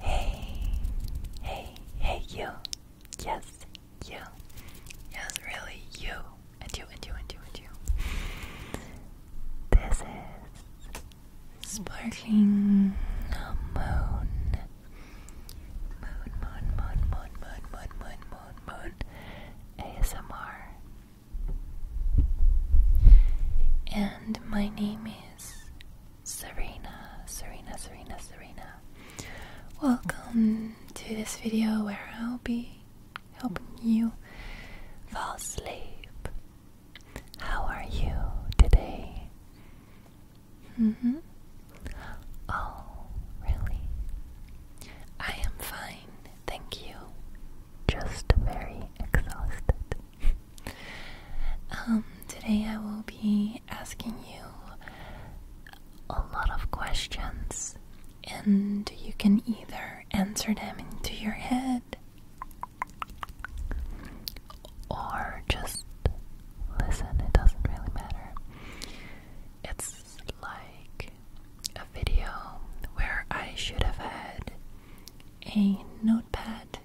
Hey, hey, hey, you. Yes, you. Yes, really, you. And you, and you, and you, and you. This is Sparkling Moon. Moon, moon, moon, moon, moon, moon, moon, Moon Moon ASMR. And my name is Serena, Serena, Serena, Serena. Welcome to this video where I'll be helping you fall asleep. How are you today? hmm. Oh, really? I am fine, thank you. Just very exhausted. um, today I will be asking you a lot of questions, and you can either answer them into your head or just listen, it doesn't really matter. It's like a video where I should have had a notepad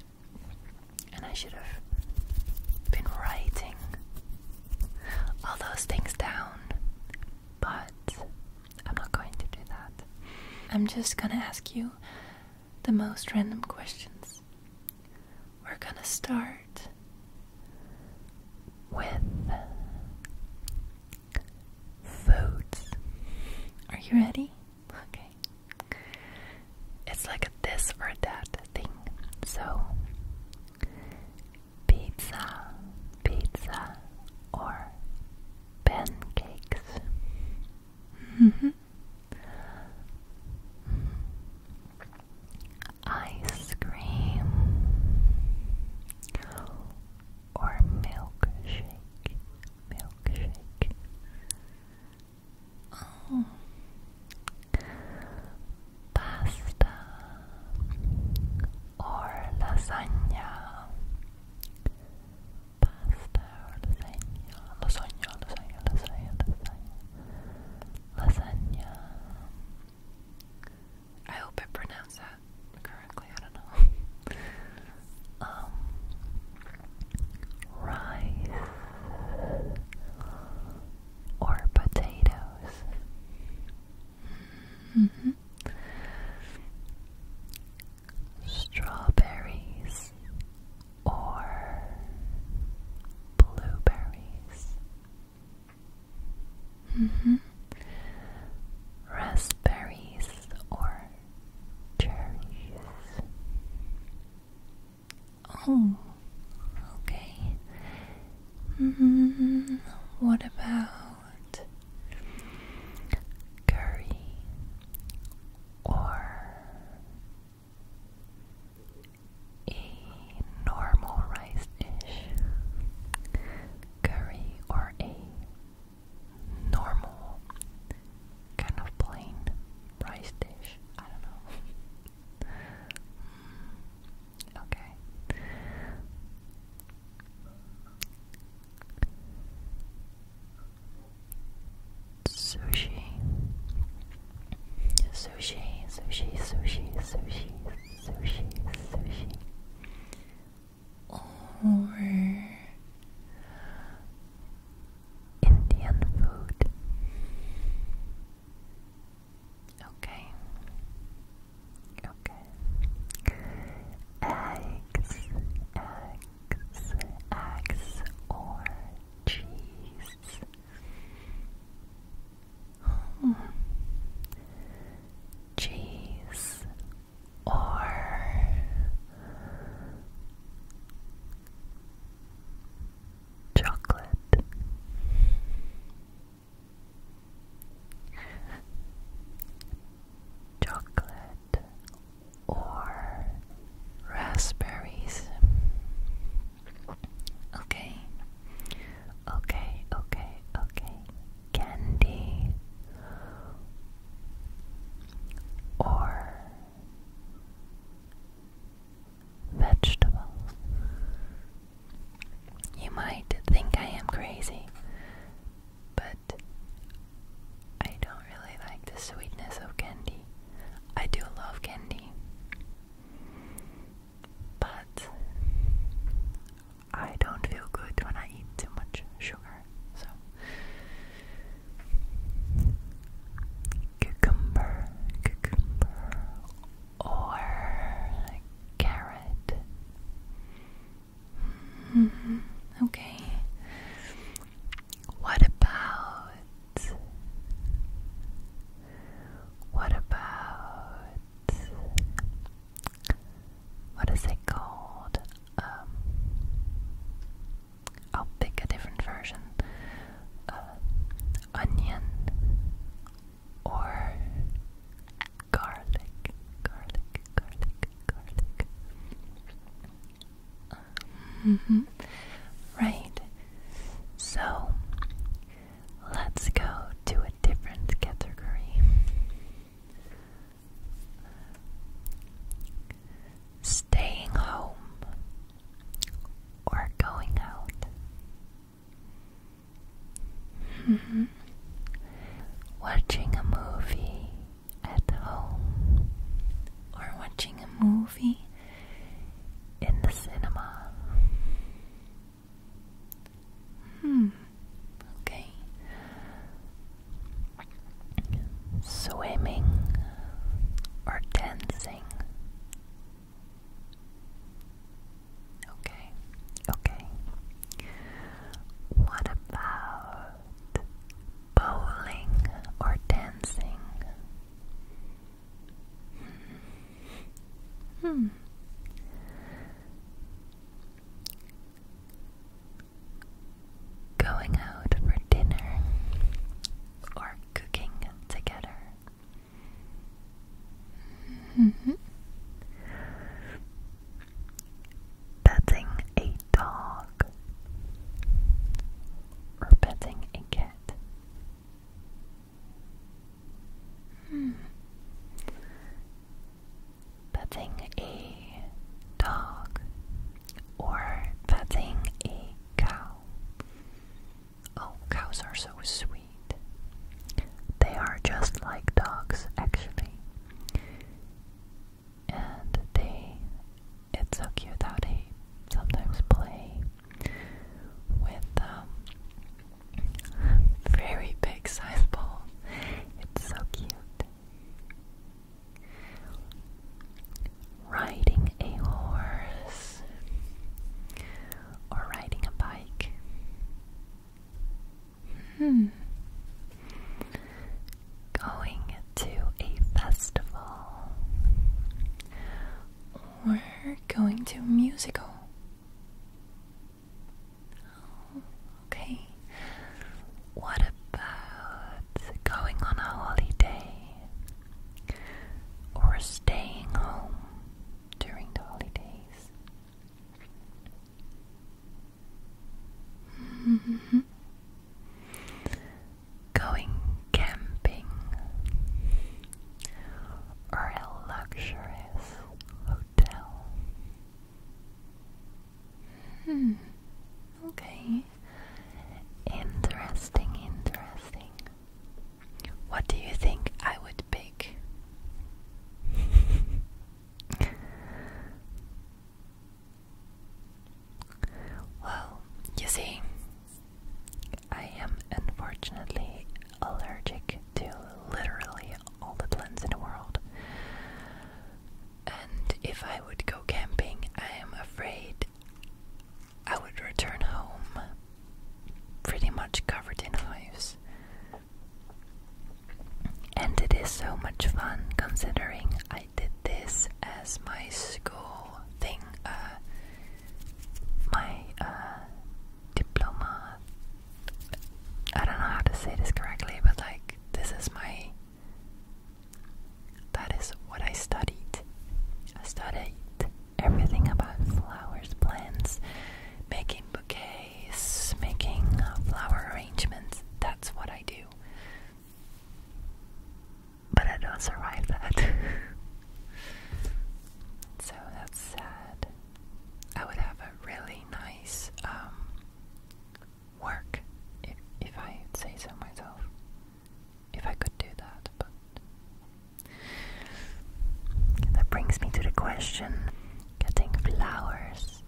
and I should have been writing all those things down, but I'm not going to do that. I'm just gonna ask you the most random questions. We're gonna start with foods. Are you ready? Okay. It's like a this or that thing. So, pizza, pizza, or pancakes. -hmm ice cream or milkshake, milkshake. Mm. Pasta or lasagna. Pasta or lasagna. Lasagna. I hope I pronounce that correctly. I don't know. Um, rice or potatoes. Mm-hmm. Strawberries or blueberries. Mm -hmm. Raspberries or cherries? Oh, okay. Mm-hmm. What about curry or a normal rice dish, curry, or a normal kind of plain rice dish. I don't know. Hmm, okay. Sushi Sushi, sushi, sushi, sushi, sushi, sushi. Or Indian food. Okay. Okay. Eggs, eggs, eggs, or cheese. Cheese or chocolate. Chocolate or raspberries. Okay. Okay, okay, okay. Candy or vegetables. You might think I am crazy, but I don't really like the sweetness of candy. I do love candy but I don't feel good when I eat too much sugar. So, cucumber, cucumber, or carrot. Hmm, okay. What about what about what is it called? Um, I'll pick a different version. Uh, onion or garlic, garlic, garlic, garlic. Mm Right. So Let's go to a different category. Staying home or going out? Mm-hmm. Watching a movie at home or watching a movie in the cinema. Hmm. Okay. Swimming or dancing? Okay, okay. What about bowling or dancing? Hmm. Hmm. Going out for dinner or cooking together. Mm-hmm. Petting a dog or petting a cat. Hmm. Petting a dog or petting a cow. Oh, cows are so sweet. They are just like dogs, actually. And they, it's so cute how they sometimes play with a um, very big size ball, It's so cute. Riding a horse or riding a bike. Hmm. Going to a festival we're going to musical. okay. What about going on a holiday? Or staying home during the holidays? Mm-hmm going camping or a luxurious hotel. Hmm. Okay. Interesting, interesting. What do you think I would pick? well, you see, I am unfortunately allergic to literally all the plants in the world. And if I would go camping, I am afraid I would return home pretty much covered in hives. And it is so much fun considering I did this as my school thing. Uh, my uh, diploma. I don't know how to say this correctly, but like this is my. That is what I studied. I studied everything about flowers, plants, making bouquets, making uh, flower arrangements. That's what I do but I don't survive that. so that's sad. I would have a really nice um, work if if I say so myself. If I could do that, but that brings me to the question: getting flowers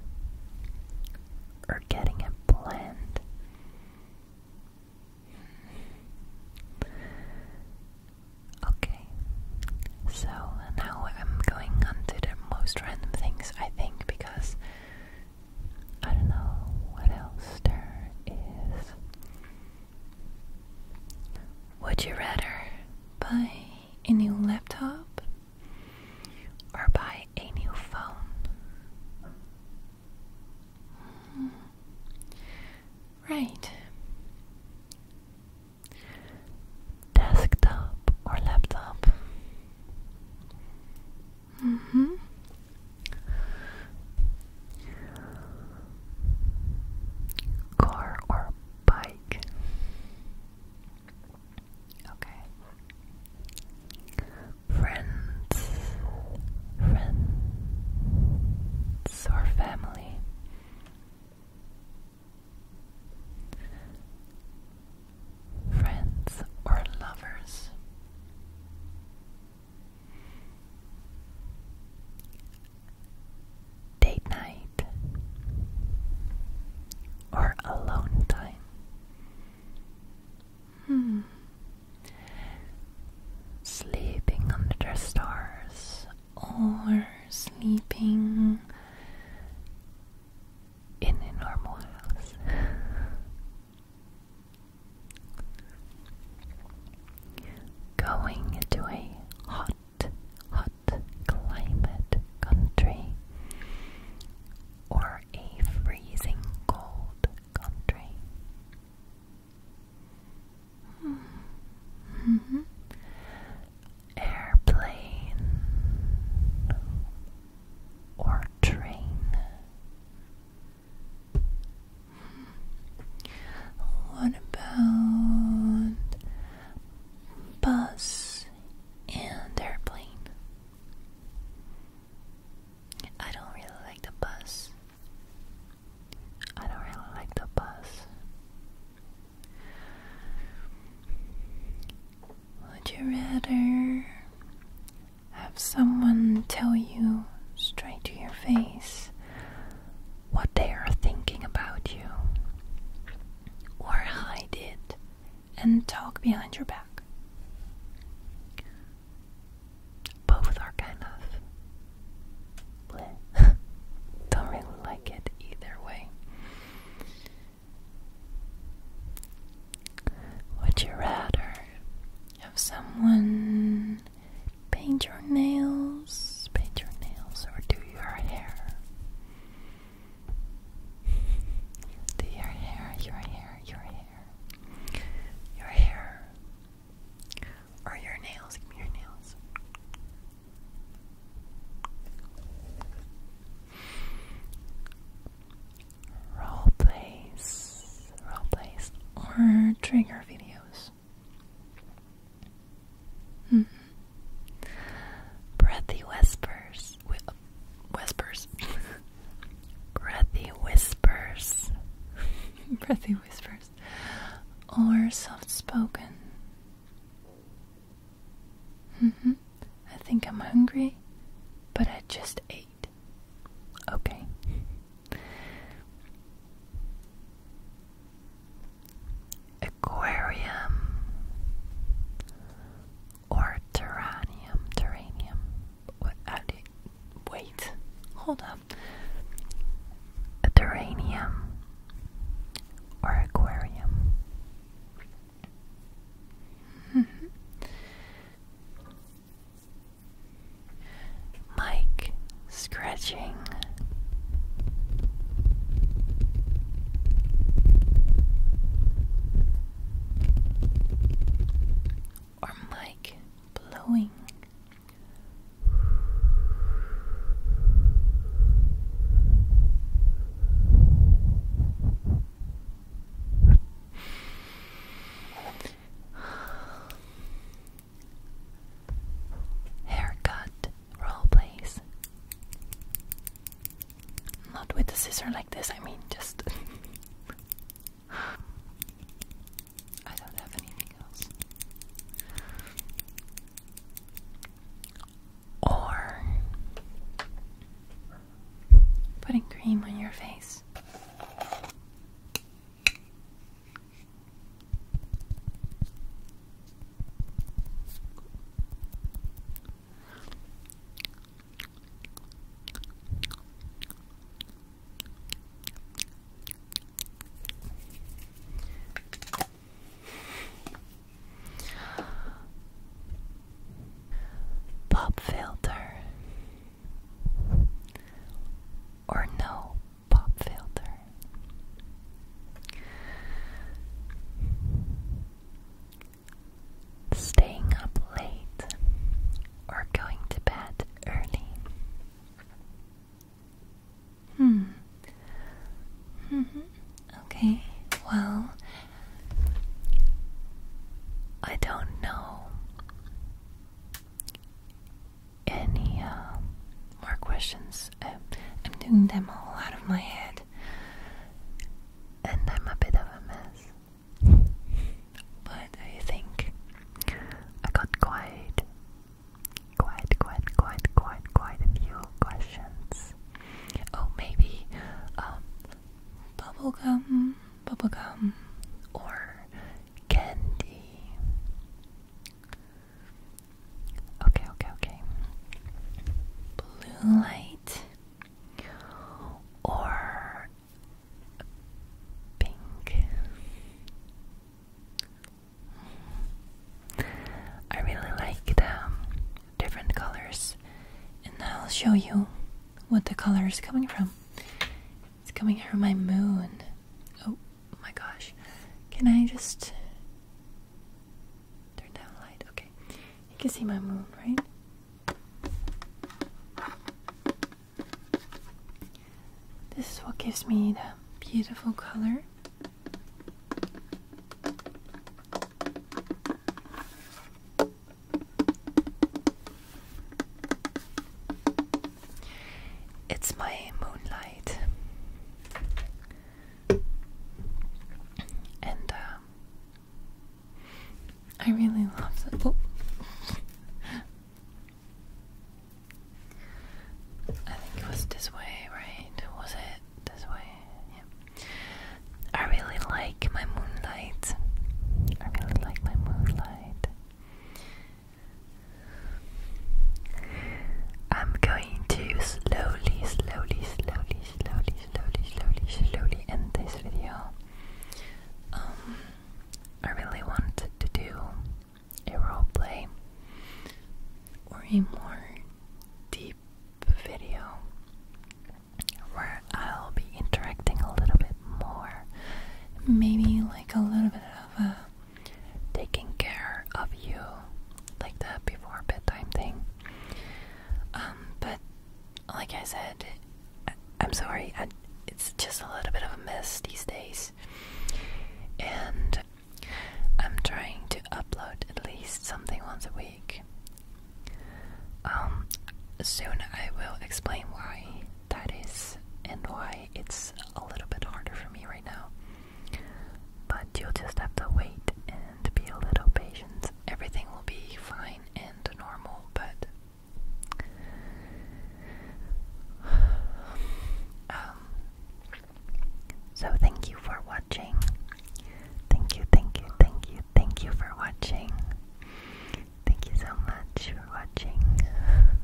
or getting a plant? Okay, so now I'm going on to the most random things I think because I don't know what else there is. Would you rather buy a new laptop or buy a new phone? Right. Desktop or laptop? Mm hmm. Car or bike? Okay. Friends friends or family. Friends or lovers. Date night or alone time. Hmm sleeping under the stars or sleeping in a normal house. Going to a hot, hot climate country or a freezing cold country. Airplane or train? What about bus and airplane? I don't really like the bus. I don't really like the bus. Would you rather have someone tell you straight to your face what they are thinking about you, or hide it and talk behind your back? Both are kind of Don't really like it either way. Would you rather have someone paint your nails, paint your nails, or do your hair? Do your hair, your hair, your hair. Your hair or your nails. Give me your nails. Role plays, role plays, or trigger videos. Hmm. Breathy whispers, whispers, breathy whispers, breathy whispers, or soft spoken. Mm-hmm. I think I'm hungry, but I just ate. Okay. Aquarium or terranium, terranium what Wait, hold up. A terrarium or aquarium? Mike scratching. Or Mike blowing. Haircut role plays. Not with a scissor like this, I mean, just. I don't have anything else. Or putting cream on your face. Pop filter or no pop filter. Staying up late or going to bed early? Hmm. Mm-hmm. Okay, well, I don't know any uh, more questions. I'm doing them all out of my head, and I'm a bit of a mess. But I think I got quite, quite, quite, quite, quite, quite a few questions. Oh, maybe um, bubblegum, bubblegum, or candy. Okay, okay, okay. Blue light or pink. I really like the different colors, and I'll show you what the color is coming from. It's coming from my moon. Oh my gosh. Can I just turn down the light? Okay. You can see my moon, right? This is what gives me the beautiful color. It's my moonlight, and um, I really love that. I think it was this way, right? Was it this way? Yeah. I really like my moonlight. I really like my moonlight. I'm going to slowly, slowly, slowly, slowly, slowly, slowly, slowly end this video. Um, I really wanted to do a role play or a more deep video where I'll be interacting a little bit more. Maybe like a little bit of a uh, taking care of you, like the before bedtime thing. Um, but like I said, I, am sorry, it's just a little bit of a mess these days. And I'm trying to upload at least something once a week. Um, soon I will explain why that is and why it's a little bit harder for me right now. But you'll just have to wait and be a little patient. Everything will be fine and normal, but um, so thank you for watching. Thank you, thank you, thank you, thank you for watching. Thank you so much for watching.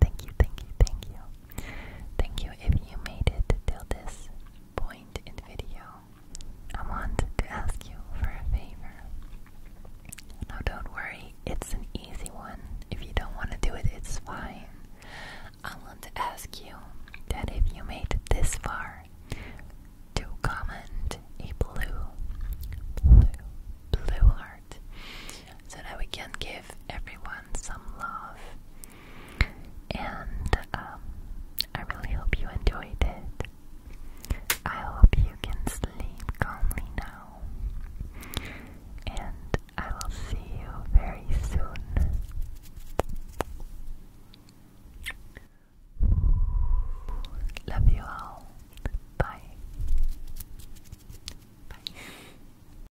Thank you, thank you, thank you. Thank you if you made it till this point in video. I want to ask you for a favor. No, don't worry, it's an easy one. If you don't want to do it, it's fine. I want to ask you that if you made it this far, to comment a blue, blue, blue heart so that we can give everyone some love. And um, I really hope you enjoyed it. I hope you can sleep calmly now. And I will see you very soon. Love you all. Bye. Bye.